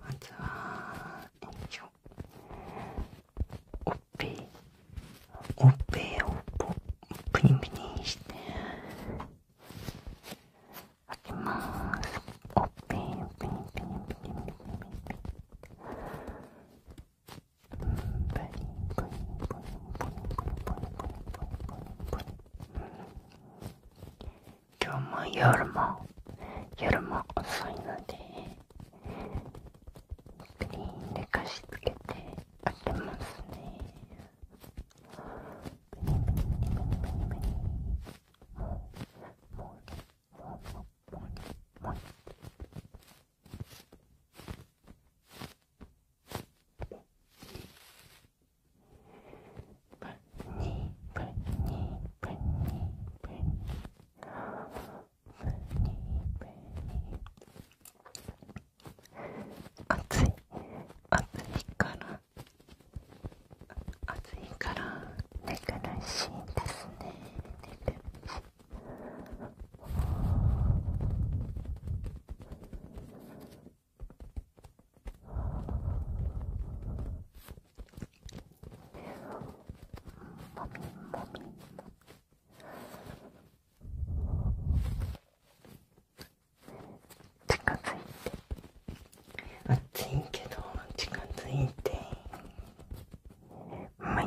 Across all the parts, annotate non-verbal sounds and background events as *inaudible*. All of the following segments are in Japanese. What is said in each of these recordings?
まずはよいしょおっぺいおっぺをプニプニして開けますおっプニププニププニプ今日も夜も夜も遅いのでスクリーンで貸し付けて開けますねブニブニブニブニブニもうもうもうもうもうもう暑い暑いから暑いから寝苦しいですね寝苦しい近づいて暑いけど近づいてうまい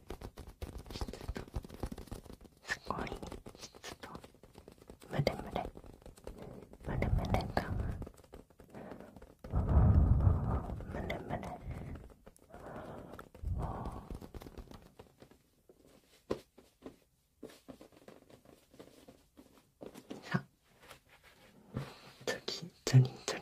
ちょっとすごいちょっとムレムレムレムレだおムレムレさあ次次次。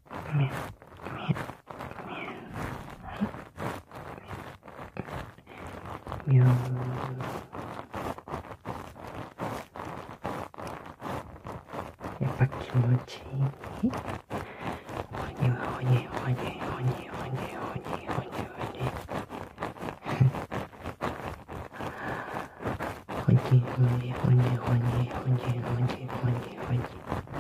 みゅーやっぱ気持ちいいおにはおにおにおにおにおにおにおにおにおにおにおにおにおにおにおに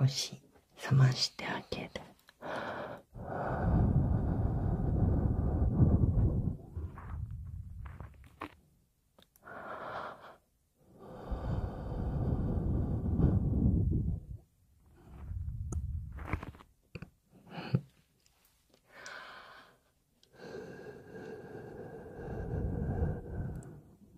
少し冷ましてあげる。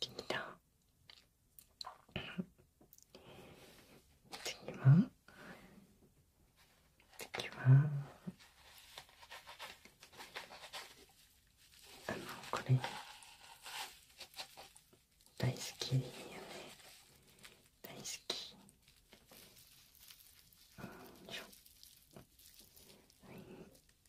きた次は次はあのこれ大好きよね大好きよいしょはい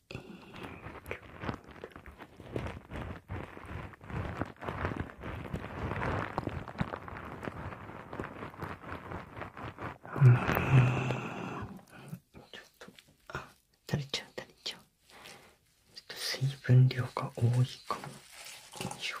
えー、ちょっとあ垂れちゃう垂れちゃうちょっと水分量が多いかもよいしょよ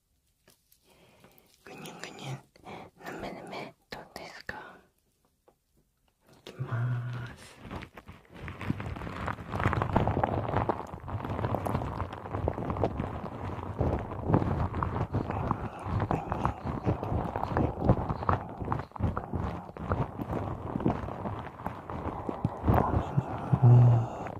ぐにゅぐにゅぬめぬめどうですかいきますお耳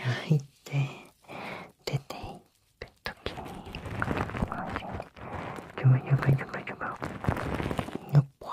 入って出ていく時にジョバジョバジョバジョバのぽわ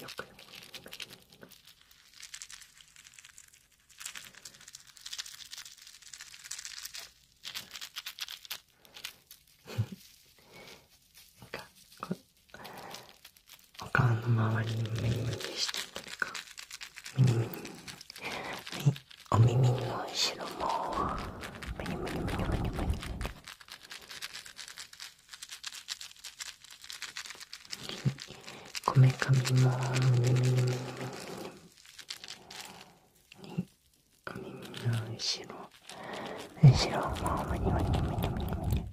よくなんかこお顔の周りに目ニムしてたりか耳お耳の後ろもむにむにむにむにむにこめかみもむにむにむにむにお耳の後ろ後ろもむにむにむにむにむに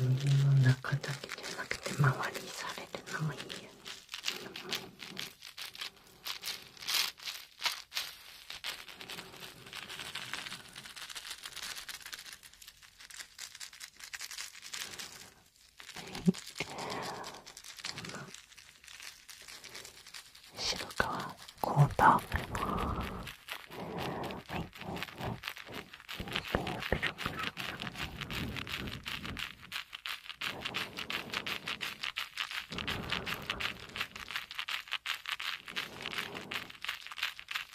耳の中だけじゃなくて周りにされるのもいいよね。白川コータはいはい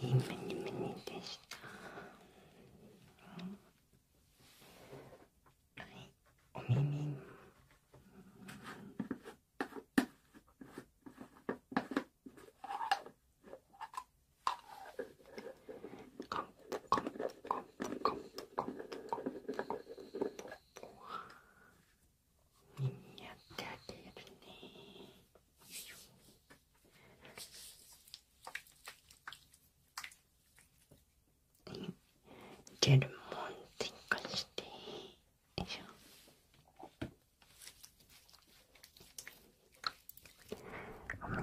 いい目に目にでした、はいお耳コンコンコンコンコンンコンンコンンコンコンコ耳やってあげるねジェルも追てよいしょごめね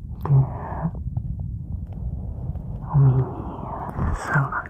お耳さんが耳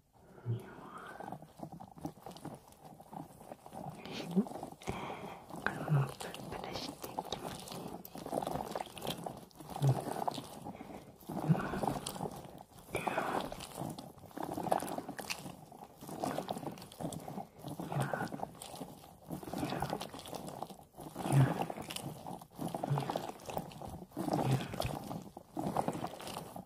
このプルプルして気持ちいいんんんんんんんんんんん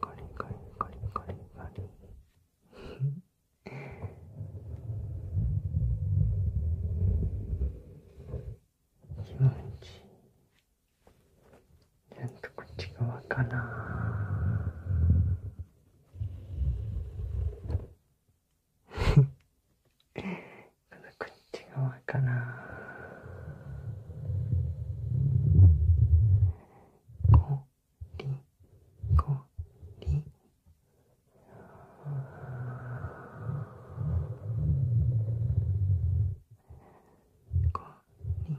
カリカリカリカリカリ気持ちちゃんとこっち側かなこ *laughs* こっち側かなこりこりこり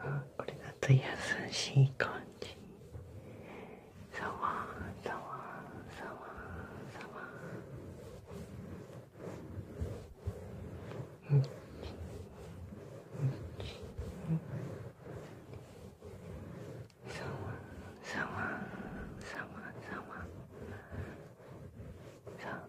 あこれだと優しい感じさわさわさわさわうんうんさわさわさわさわさ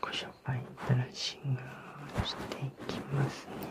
ご紹介ブラッシングをしていきますね。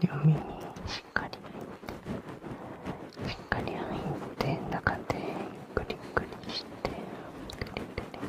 両耳にしっかりて。しっかり入って中でゆっくりしてグリグリ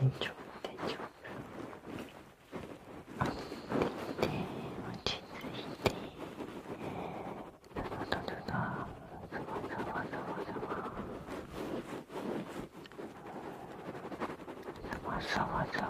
天井天井あっていて落ち着いてただただただざざわざわざわざわざわ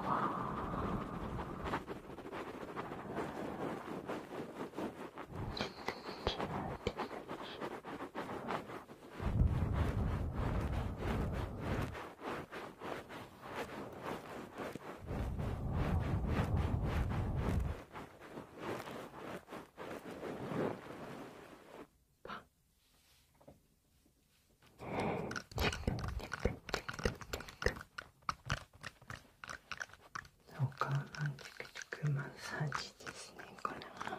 お顔のチクチクマッサージですねこれは。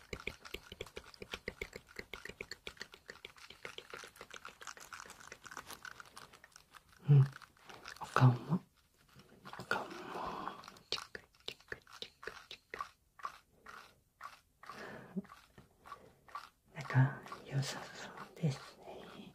うんお顔もお顔もなんか良さそうですね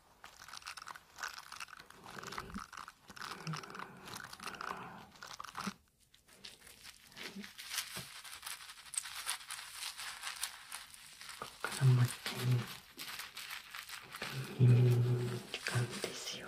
こからもう一回耳に使うんですよ。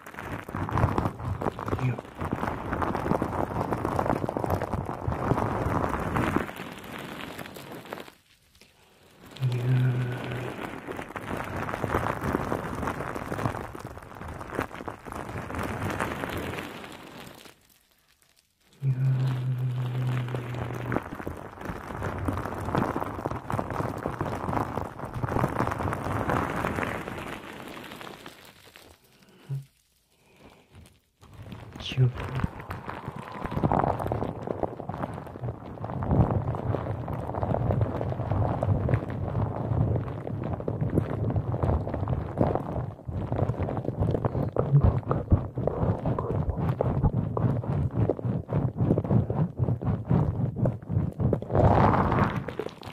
いいいや。や。や。9分。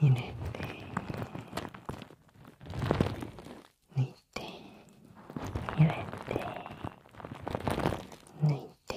入れてぬいて。て。れぬいて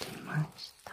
できました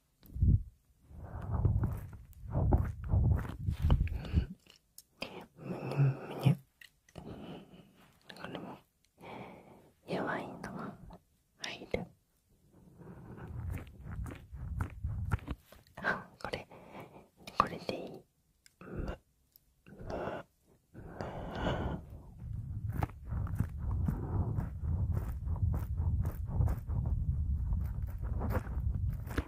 むにゅむにゅこれも弱いのが入るあこれこれでいいむむむ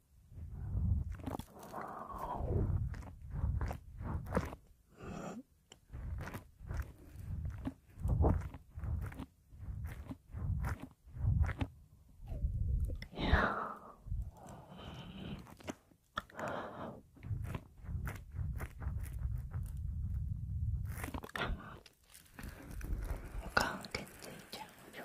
おかんけついちゃうよ。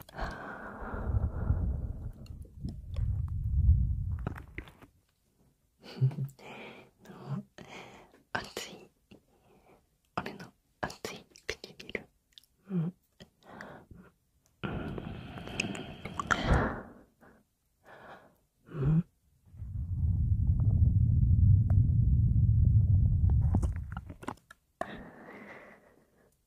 の熱い俺の熱い唇うんうん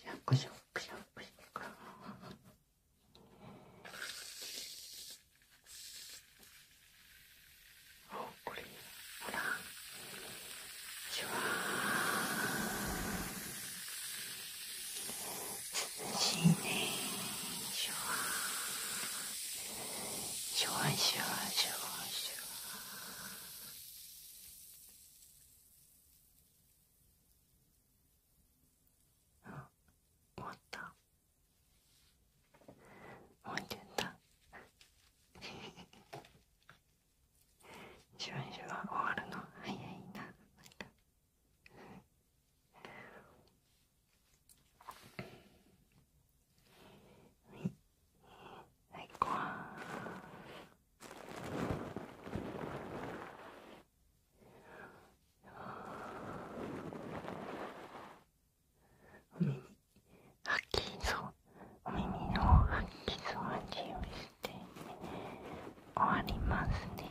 シャクシャクシャクシャクあこれほらシュワー新年シュワシュワ終わったもうちょっとシュ終わるの早いなはいごはお耳吐きそうお耳の吐きそうは注意して終わりますね。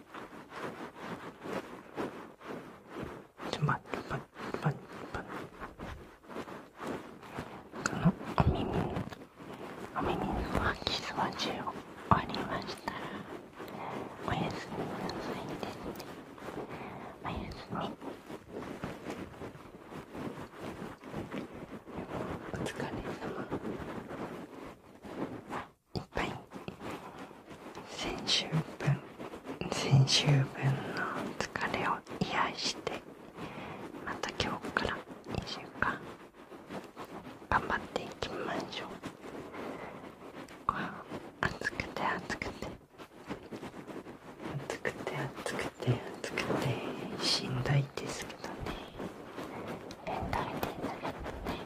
ちちょょま、このお耳にお耳にはキスは10終わりましたらおやすみなさいですねおやすみお疲れ様いっぱい先週分先週分の疲れを癒してまた今日から2週間頑張っていきましょう暑くて暑くて暑くて暑くて暑くてしんどいですけどね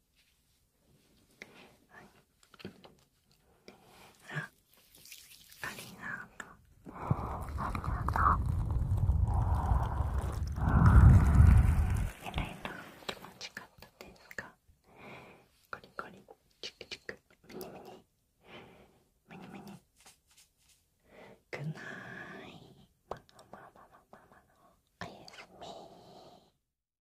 はい、あありがとうありがとうえらいな気持ちかったですかコリコリチクチクムニムニムニムニくないまあまあまあまあまあまあおやすみ